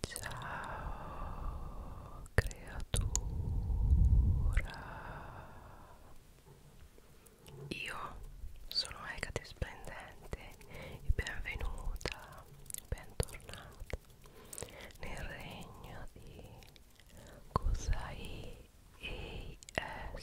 Ciao creatura Io sono Hecate Splendente e benvenuta, bentornata nel regno di Kusai ASMR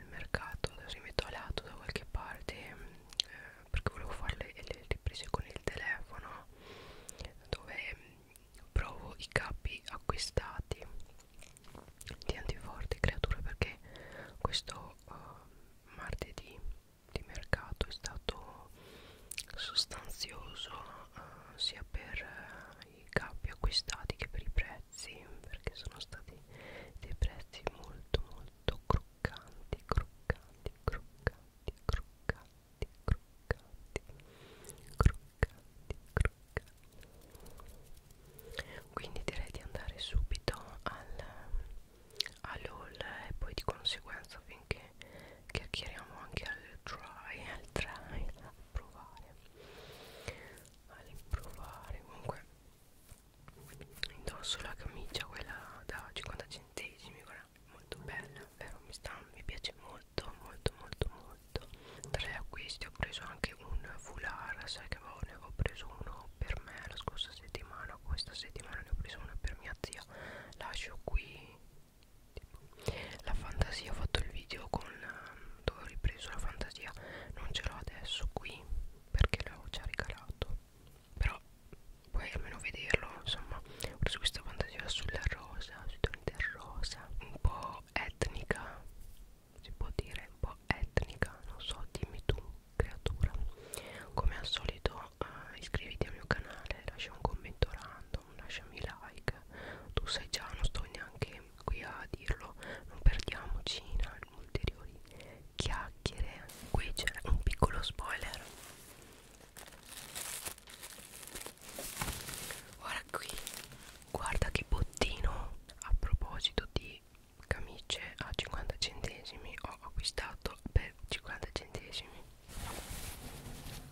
del mercato adesso mi metto a lato da qualche parte eh, perché volevo fare le, le riprese con il telefono dove provo i capi acquistati di antiforti creature perché questo uh, martedì di mercato è stato sostanzioso uh, sia per uh, i capi acquistati che per i prezzi prezzi perché sono stati dei prezzi molto molto croccanti croccanti croccanti croccanti croccanti croccanti croccanti quindi direi di andare subito al all'all e poi di conseguenza finché chiacchieriamo anche al try al try a provare all'improvare comunque indosso la camicia quella da 50 centesimi guarda molto bella vero mi, sta, mi piace molto molto molto molto tra gli acquisti ho preso anche un foulard sai che avevo, ne avevo preso uno per me la scorsa settimana questa settimana ne ho preso uno per mia zia lascio qui tipo, la fantasia ho fatto il video con dove ho ripreso la fantasia non ce l'ho adesso qui perché l'avevo già regalato però puoi almeno vederlo insomma ho preso questa fantasia sulla rosa sui toni del rosa un po' etnica si può dire un po' etnica non so dimmi tu creatura come al solito uh, iscriviti al mio canale lascia un commento random lasciami like tu sai già non sto neanche qui a dirlo non perdiamoci in ulteriori chiacchiere qui c'è un piccolo spoiler ora qui guarda che bottino a proposito di camicie a 50 centesimi ho acquistato per 50 centesimi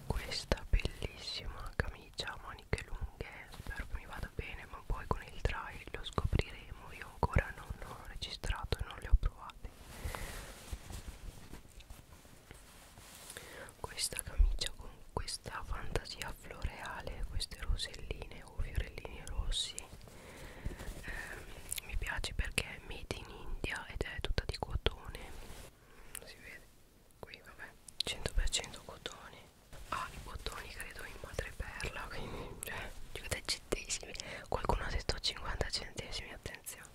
questa bellissima camicia a maniche lunghe spero che mi vada bene ma poi con il trial lo scopriremo io io ancora non ho registrato e non li ho provati questa camicia con questa fantasia floreale queste roselline o fiorellini rossi eh, mi piace perché è made in India ed è tutta di cotone si vede qui vabbè 100% cotone ha ah, i bottoni credo in madreperla quindi cioè centesimi qualcuno ha detto 50 centesimi attenzione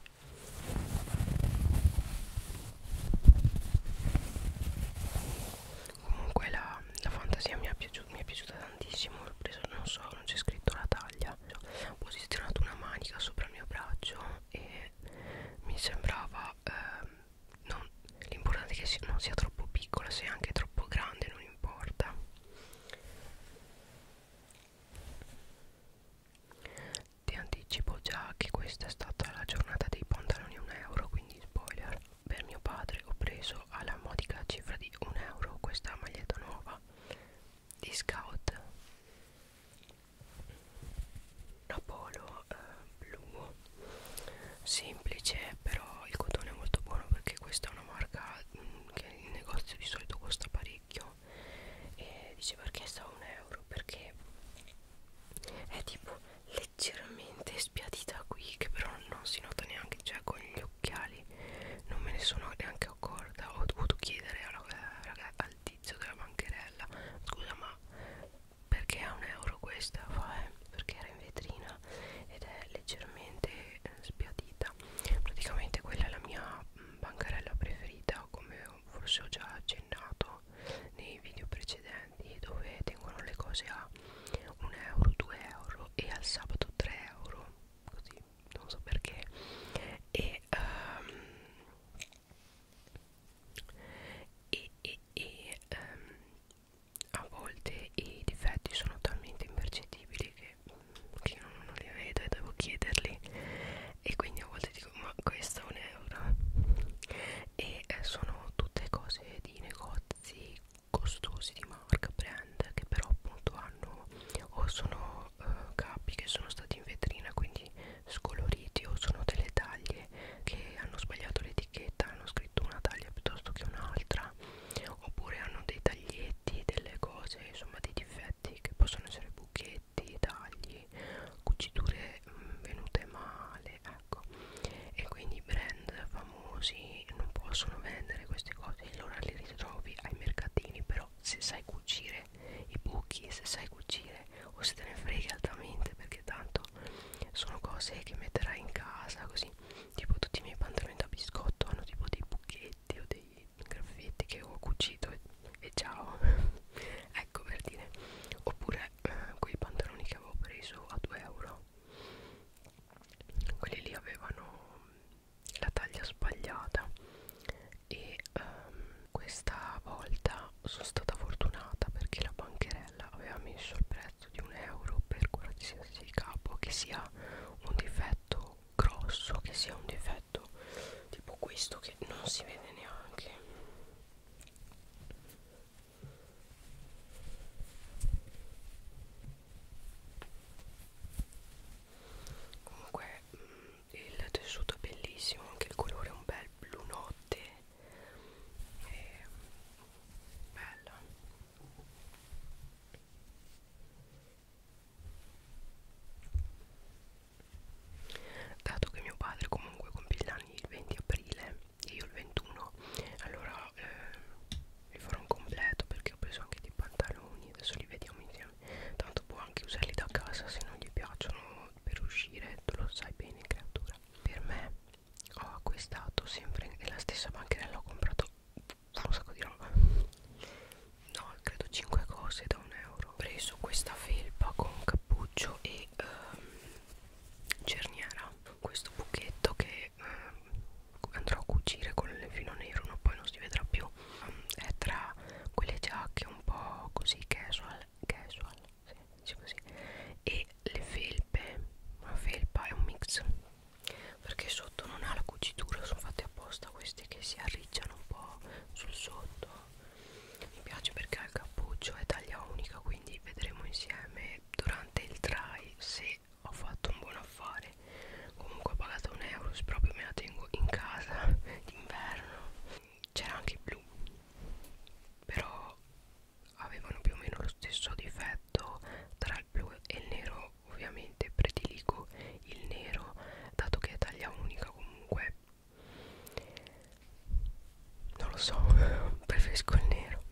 comunque la, la fantasia mi è, piaciuta, mi è piaciuta tantissimo l'ho preso non so non c'è scritto la taglia ho posizionato una manica sopra il mio braccio e mi sembrava eh, l'importante è che non sia troppo piccola se anche troppo grande non importa ti anticipo già che questa è stata la giornata dei pantaloni 1 euro quindi spoiler per mio padre ho preso alla modica cifra di 1 euro questa maglietta nuova di scout una polo eh, blu semplice però il cotone è molto buono perché questa è una marca mh, mm, che il negozio di solito costa parecchio e dice perché sta un euro perché è tipo leggermente spiadita qui che però non si nota neanche cioè con gli occhiali non me ne sono neanche accorta ho dovuto chiedere alla, alla, al tizio della bancherella scusa ma perché è un euro questa fa eh? perché era in vetrina carina ed è leggermente eh, spiadita praticamente quella è la mia mm, bancarella preferita come forse ho già accennato nei video precedenti dove tengono le cose a 1 euro 2 euro e al sabato 3 euro così non so perché e um, e, e, e um, a volte i difetti sono talmente impercettibili che che non, non li vedo e devo chiederli e quindi a volte dico ma questo è un euro e eh, sono tutte cose di negozi costosi di marca brand che però appunto hanno o sono eh, capi che sono stati in vetrina quindi scoloriti o sono delle taglie che hanno sbagliato l'etichetta hanno scritto una taglia piuttosto che un'altra età oppure hanno dei taglietti, delle cose, insomma dei difetti che possono essere buchetti, tagli, cuciture mh, mm, venute male, ecco. E quindi i brand famosi non possono vendere queste cose, allora li ritrovi ai mercatini, però se sai cucire i buchi, se sai cucire o se te ne frega altamente perché tanto sono cose che metterai in casa così tipo tutti i miei pantaloni da biscotto hanno tipo dei buchetti spaghetti o dei graffetti che ho cucito e, e ciao ecco per dire oppure eh, quei pantaloni che avevo preso a 2 euro quelli lì avevano la taglia sbagliata e um, questa volta sono stata fortunata perché la bancherella aveva messo il prezzo di un euro per qualsiasi capo che sia un difetto grosso che sia un difetto tipo questo che non si vede neanche comunque mm, il tessuto è bellissimo anche il colore è un bel blu notte e bella dato che mio padre comunque compie gli anni il 20 aprile e io il 21 allora eh, vi farò un completo perché ho preso anche dei pantaloni adesso li vediamo insieme tanto può anche usarli da casa se non gli piacciono per uscire tu lo sai bene creatura per me ho acquistato sempre nella stessa bancherella ho comprato un sacco di roba no credo 5 cose da un euro ho preso questa felpa con cappuccio e ehm, cerniera questo buchetto che ehm, andrò a cucire con il filo nero no? poi non si vedrà più um, è tra quelle giacche un po' così casual casual sì, così. e le felpe una felpa è un mix perché sotto non ha la cucitura sono fatte apposta queste che si arricciano un po' sul sotto mi piace perché ha il cappuccio è taglia unica quindi vedremo insieme durante il try se ho fatto un buon affare comunque ho pagato un euro se proprio me la tengo in casa d'inverno c'era anche il blu però avevano più o meno lo stesso difetto tra il blu e il nero io ovviamente prediligo il nero dato che è taglia unica comunque non lo so preferisco il nero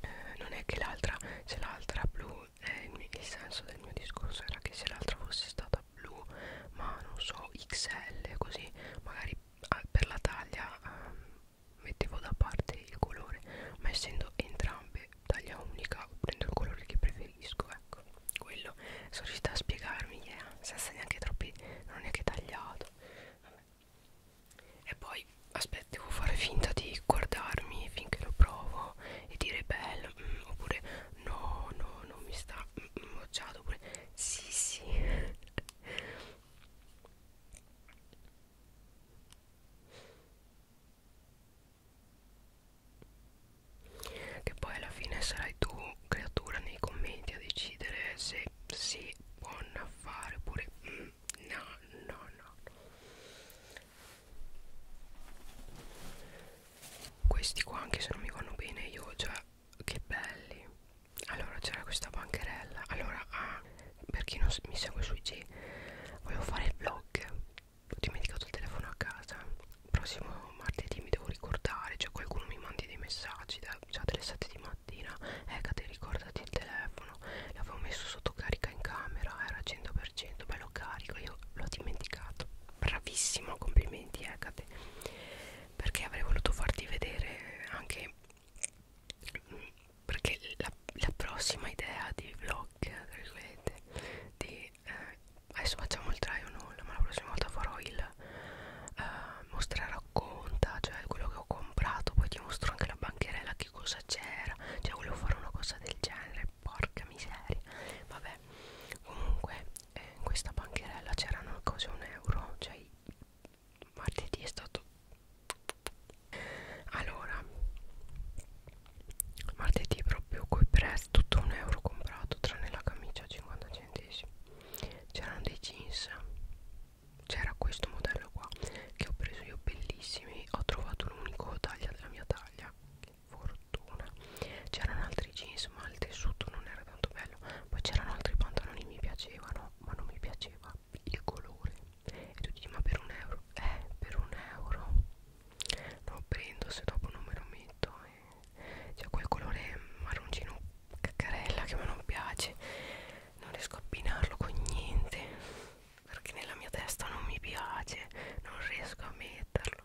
eh, non è che l'altra se l'altra blu eh, il, mio, il senso del mio discorso era che se l'altra fosse stata blu ma non so xl così magari per la taglia eh, mettevo da parte il colore ma essendo entrambe taglia unica prendo il colore che preferisco ecco quello sono riuscita a spiegarmi yeah, senza neanche troppi non ho neanche tagliato Vabbè. e poi aspetta devo fare finta di guardarmi finché lo provo e dire bello mm, oppure no no non mi sta mm, mm mocciato oppure sì sì che poi alla fine sarai tu creatura nei commenti a decidere se sì buon affare oppure mm, no no no questi qua anche se non mi vanno bene io già cioè, che belli allora c'era questa bancherella allora ah, per chi non mi segue sui G volevo fare il vlog ho dimenticato il telefono a casa prossimo martedì mi devo ricordare cioè qualcuno mi mandi dei messaggi da, già dalle 7 di mattina eh Cate ricordati il telefono l'avevo messo sotto carica in camera era 100% beh lo carico io l'ho dimenticato bravissimo complimenti eh Cate perché avrei voluto farti vedere anche mm, perché la, la prossima idea di vlog di e eh, adesso facciamo il try o nulla ma la prossima volta farò il eh, mostrare racconta cioè quello che ho comprato poi ti mostro anche la bancherella che cosa c'era cioè volevo fare una cosa del genere porca miseria vabbè comunque eh, in questa bancherella c'erano cose un euro cioè martedì è stato allora martedì proprio coi press tutto un euro comprato tranne la camicia a 50 centesimi c'erano dei jeans c'era questo modello qua che ho preso io bellissimi ho trovato l'unico taglia della mia taglia che fortuna c'erano altri jeans ma il tessuto non era tanto bello poi c'erano altri pantaloni mi piacevano ma non mi piaceva il colore e tu dici ma per un euro eh per un euro lo prendo se dopo non me lo metto eh. c'è quel colore marroncino caccarella che a me non piace non riesco a abbinarlo con niente perché nella mia testa non mi piace non riesco a metterlo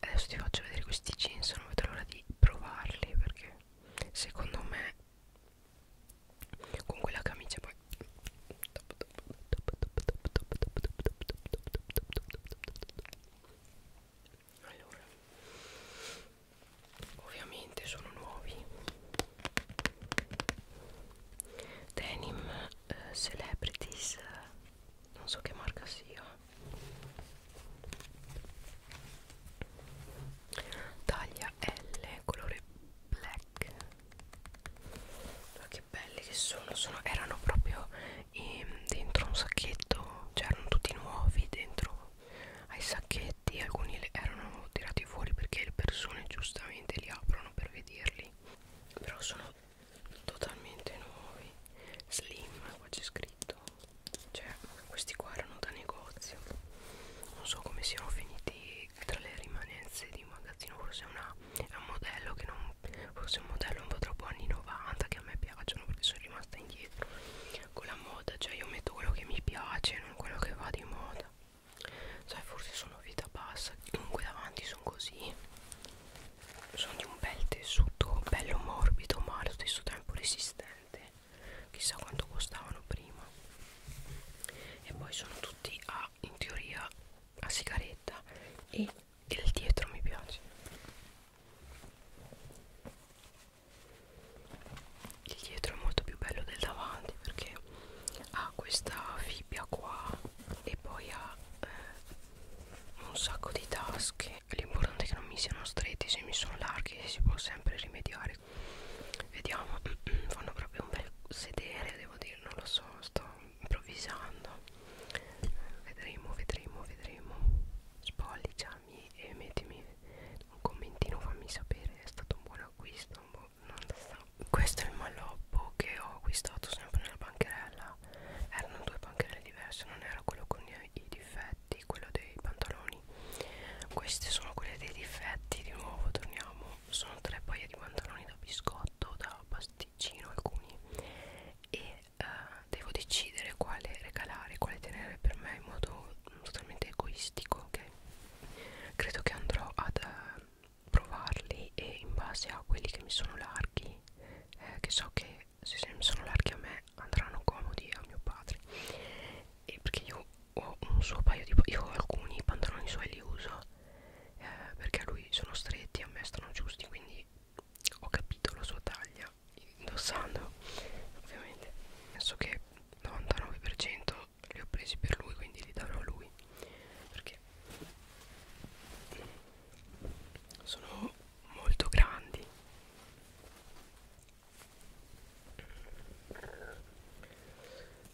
adesso ti faccio vedere questi jeans non vedo l'ora di provarli perché secondo me con quella camicia poi allora ovviamente sono nuovi denim eh, celebrities eh, non so che marca sia taglia L colore black ma che belli che sono, sono erano proprio ehm, dentro un sacchetto, cioè erano tutti nuovi dentro ai sacchetti, alcuni erano tirati fuori perché le persone giustamente li aprono per vederli. Però sono totalmente nuovi. Slim, qua c'è scritto. Cioè, questi qua erano da negozio. Non so come siano finiti tra le rimanenze di magazzino, forse una ma è un modello che non forse è un modello un po' troppo anni 90 che a me piacciono perché sono rimasta indietro con la moda cioè io metto quello che mi piace non quello che va di moda sai forse sono vita bassa comunque davanti sono così sono di un bel tessuto bello morbido ma allo stesso tempo resistente chissà quanto costavano prima e poi sono tutti a ah, in teoria a sigaretta e il dietro mi piace il dietro è molto più bello del davanti perché ha questa fibbia qua e poi ha eh, un sacco di tasche l'importante è che non mi siano stretti se mi sono larghi si può sempre rimediare vediamo fanno proprio un bel sedere devo dire non lo so sto improvvisando vedremo vedremo vedremo spolliciami e mettimi un commentino fammi sapere è stato un buon acquisto un buon... questo è il malloppo che ho acquistato sempre nella bancherella erano due bancherelle diverse non era quello con i difetti quello dei pantaloni questi sono quelli dei difetti di nuovo torniamo sono tre paia di pantaloni da biscotto da pastiglia Ticino alcuni e uh, devo decidere quale regalare, quale tenere per me in modo mm, totalmente egoistico, ok? Credo che andrò ad uh, provarli e in base a quelli che mi sono larghi, eh, che so che se, se mi sono larghi a me andranno comodi a mio padre e perché io ho un suo paio di io ho alcuni pantaloni suoi li uso eh, perché a lui sono stretti a me stanno giusti quindi e ho capito la sua taglia indossando ovviamente penso che il 99% li ho presi per lui quindi li darò a lui perché sono molto grandi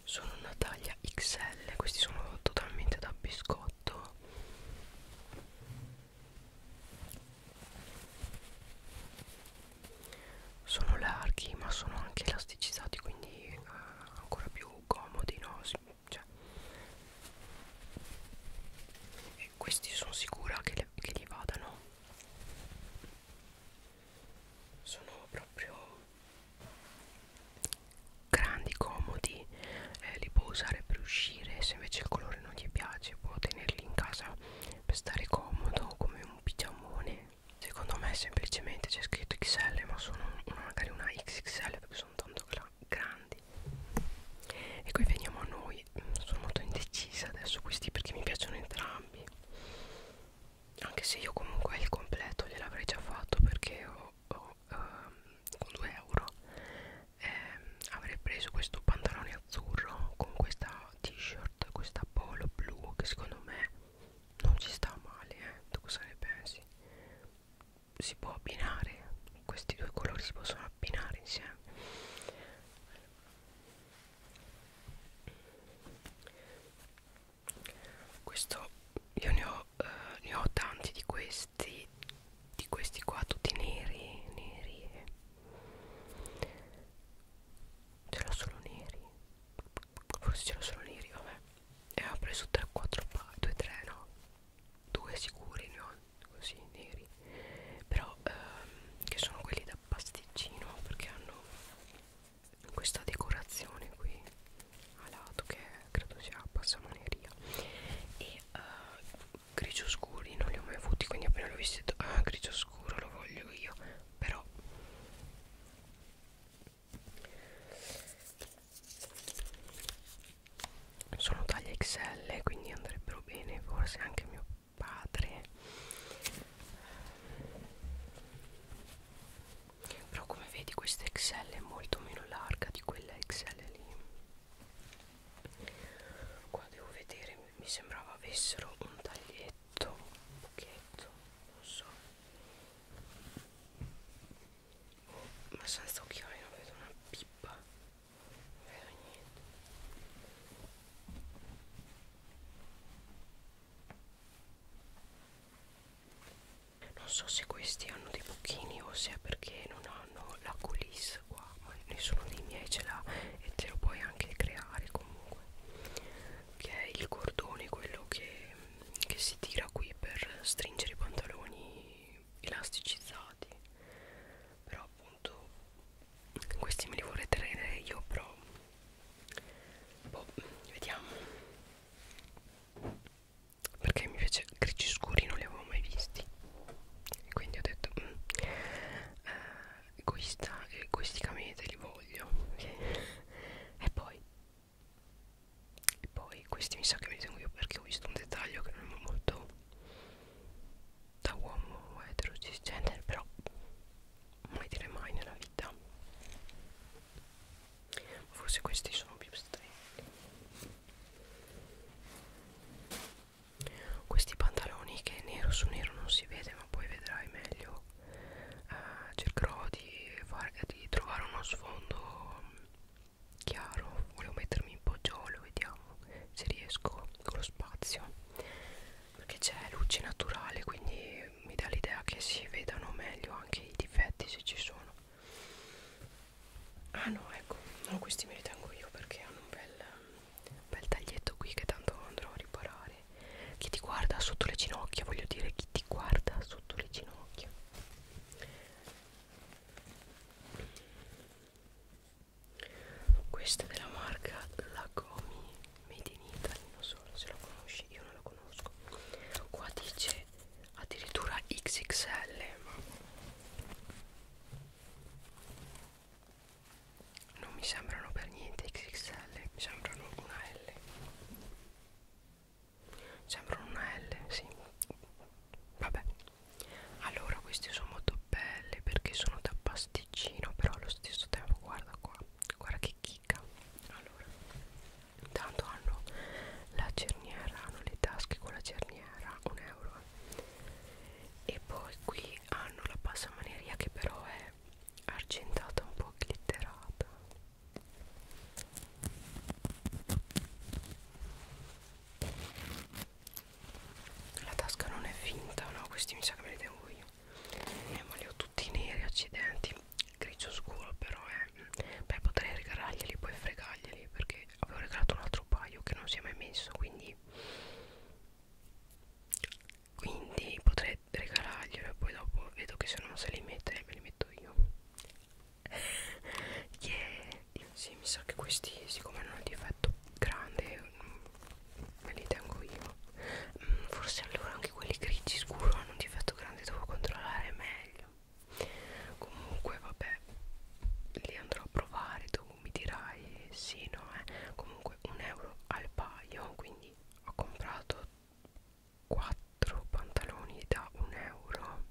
sono una taglia XL questi sono totalmente da biscotto fatto sono larghi ma sono anche elasticizzati quindi eh, ancora più comodi no? Sì, cioè. e questi sono sicura che, le, che li vadano sono proprio grandi, comodi, eh, li può usare per uscire, se invece il colore non gli piace può tenerli in casa per stare comodo come un pigiamone. Secondo me semplicemente c'è scritto XL ma sono una, magari una XXL perché sono tanto grandi. E qui veniamo a noi, sono molto indecisa adesso questi perché mi piacciono entrambi. Anche se io comunque il completo gliel'avrei già fatto perché ho oh, eh, con 2 euro eh, avrei preso questo pantalone azzurro con questa t-shirt questa polo blu che secondo me non ci sta male eh. tu cosa ne pensi? si può abbinare questi due colori si possono abbinare insieme questo io ne ho ho, eh, ne ho tanti di questi di questi qua tutti neri neri ce l'ho solo neri forse ce l'ho solo neri vabbè e ho preso 3 4 2 3 no due sicuri ne ho così neri però ehm, che sono quelli da pasticcino perché hanno questa decorazione qui alato che credo sia passamaneria e uh, grigio scuri non li ho mai avuti quindi appena l'ho visto ho detto ah grigio scuro lo voglio io però sono taglia XL eh, quindi andrebbero bene forse anche mio padre però come vedi questa XL è molto meno larga di quella XL lì qua devo vedere mi sembrava avessero un taglietto un buchetto non so oh, ma senza occhiali non vedo una pippa non vedo niente non so se questi hanno dei buchini o se è perché non hanno la coulisse qua ma nessuno dei miei ce l'ha e te lo puoi anche creare comunque che è il cordone quello che, che si tira qui per stringere i pantaloni elasticizzati però appunto questi me li vorrei tenere io però boh, vediamo perché mi piace grigi scuri non li avevo mai visti e quindi ho detto mm, eh, egoista, egoisticamente li voglio okay. e poi e poi questi mi sa che me li tengo io perché ho visto un dettaglio che non è molto da uomo etero cisgender però mai dire mai nella vita forse questi sono più stretti questi pantaloni che nero su nero non si vede ma poi vedrai meglio eh, cercherò di, far, di trovare uno sfondo mm, chiaro volevo mettermi in poggiolo vediamo se riesco con lo spazio perché c'è luce naturale quindi mi dà l'idea che si vedano meglio anche i difetti se ci sono ah no ecco no, questi me li tengo io perché hanno un bel, un bel taglietto qui che tanto andrò a riparare chi ti guarda sotto le ginocchia voglio dire chi ti guarda sotto le ginocchia questa è della marca Lacomi Made in Italy, non so se la conosci, io non la conosco. Qua dice addirittura XXL, ma non mi sembrano per niente XXL mi sembrano una L sembrano una L sì vabbè allora queste sono molto belle perché sono da pasticcino però allo stesso tempo guarda qua guarda che chicca allora intanto hanno la cerniera hanno le tasche con la cerniera un euro e poi qui hanno la passamaneria che però è argentata un po' glitterata la tasca non è finta no questi mi sa che me li devo io eh, ma li ho tutti neri accidenti grigio scuro però eh. beh potrei regalarglieli poi fregarglieli perché che avevo regalato un altro paio che non si è mai messo quindi quindi potrei regalarglielo e poi dopo vedo che se non se li mette me li metto io yeah. sì mi sa che questi siccome hanno un difetto grande mm, me li tengo io mm, forse allora anche quelli grigi scuro hanno un difetto grande devo controllare meglio comunque vabbè li andrò a provare tu mi dirai sì no eh. comunque un euro al paio quindi ho comprato 4 pantaloni da 1 euro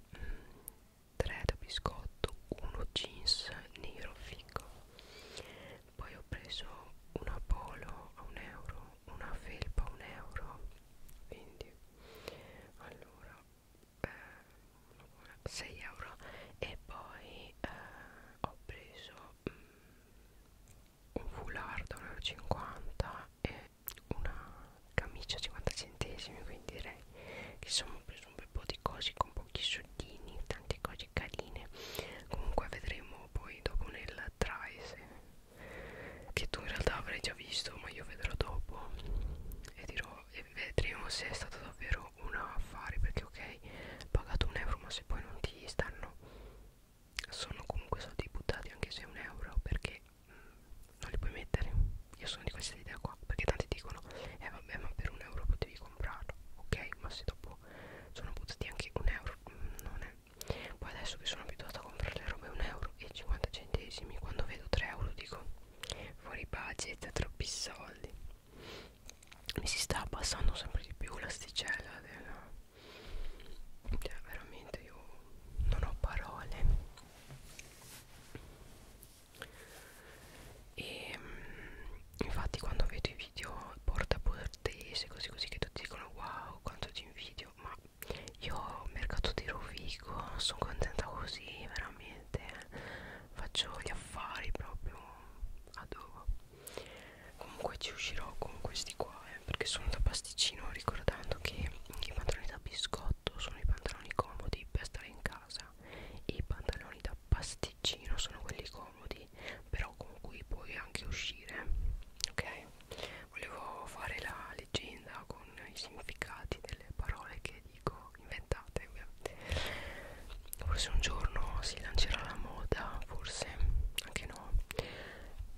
3 mm, da biscotto 1 jeans nero figo poi ho preso una polo a 1 euro una felpa a 1 euro quindi allora eh, 6 euro e poi eh, ho preso mm, un foulard 1,50 e una camicia 50 centesimi quindi direi che sono preso un bel po' di cose con pochi soldini tante cose carine comunque vedremo poi dopo nel try se che tu in realtà avrai già visto ma io vedrò dopo e dirò e vedremo se è stato davvero un affare perché ok pagato un euro ma se poi non ti stanno sono comunque soldi buttati anche se è un euro perché mh, mm, non li puoi mettere io sono di questa idea qua perché tanti dicono eh vabbè ma per un euro potevi comprarlo ok ma se dopo sono buttati anche un euro mh, mm, non è poi adesso che sono abituato a comprare le robe un euro e 50 centesimi quando vedo 3 euro dico fuori budget troppi soldi mi si sta abbassando sempre di più l'asticella della cioè veramente io non ho parole e ehm, infatti quando vedo i video porta portese così così che tutti dicono wow quanto ti invidio ma io mercato di Rovigo sono contenta così veramente eh faccio gli affari proprio a dove comunque ci uscirò con questi qua eh, perché sono da pasticcino ricordando che i pantaloni da biscotto sono i pantaloni comodi per stare in casa e i pantaloni da pasticcino sono quelli comodi però con cui puoi anche uscire ok volevo fare la leggenda con i significati delle parole che dico inventate forse un giorno si lancerà la moda forse anche no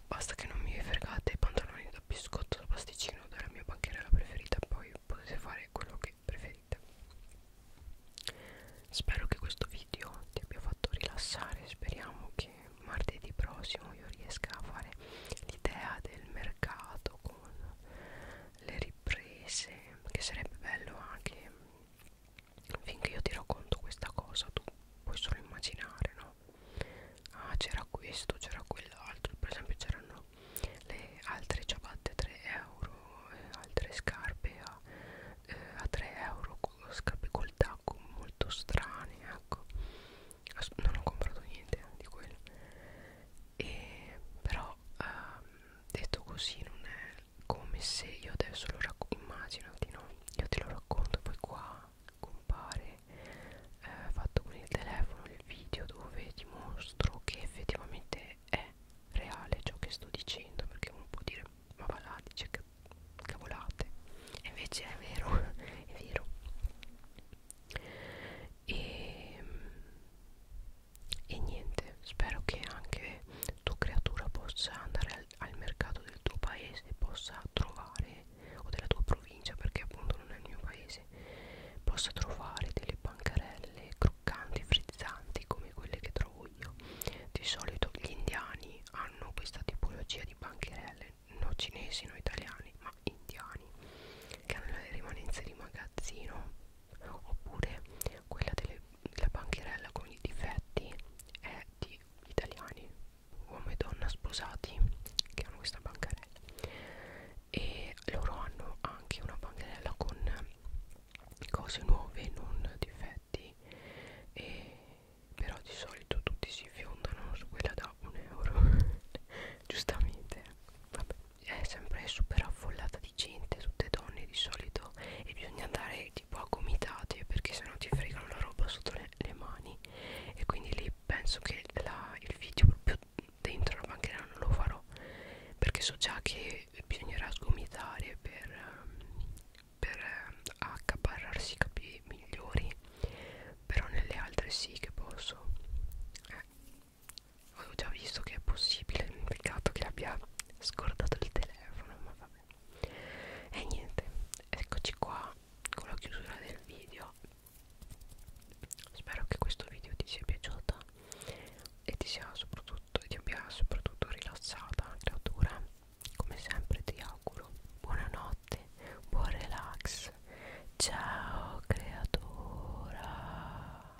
basta che non mi fregate i pantaloni da biscotto da pasticcino della mia bancherella preferita poi potete fare quello che preferite spero che questo video ti abbia fatto rilassare speriamo che martedì prossimo io riesca a fare l'idea del mercato con le riprese che sarebbe bello anche finché io ti racconto questa cosa tu puoi solo immaginare no ah c'era questo c'era quell'altro per esempio c'erano le altre ciabatte a 3 euro eh, altre scarpe a, eh, a 3 euro scarpe col tacco molto strane ecco non ho comprato niente eh, di quello e però ehm, detto così non è come se io adesso lo racconto immaginati no io te lo racconto poi qua compare eh, fatto con il telefono il video dove ti mostro che effettivamente è reale ciò che sto dicendo perché uno può dire ma va là dice che cavolate e invece è vero è vero e, e niente spero che anche tu creatura possa andare al, al mercato del tuo paese possa trovare o della tua provincia perché appunto non è il mio paese possa trovare delle bancarelle croccanti frizzanti come quelle che trovo io di solito gli indiani hanno questa tipologia di bancarelle non cinesi, non italiani, ma indiani che hanno le rimanenze di magazzino oppure quella delle, della bancherella con i difetti è di italiani uomo e donna sposati che hanno questa bancarella e loro hanno anche una bancarella con cose nuove non difetti e però di solito tutti si fiondano su quella da un euro giustamente vabbè è sempre super affollata di gente, tutte donne di solito e bisogna andare tipo a gomitate perché sennò ti fregano la roba sotto le, le mani e quindi lì penso che la, il video proprio dentro la banchina non lo farò perché so già che bisognerà sgomitare per, per eh, accaparrarsi i capi migliori però nelle altre sì che posso eh avevo già visto che è possibile peccato che abbia scordato il telefono ma vabbè e niente eccoci qua con la chiusura del video spero che questo video ti sia piaciuto e ti sia soprattutto ti abbia soprattutto rilassata creatura come sempre ti auguro buonanotte buon relax ciao creatura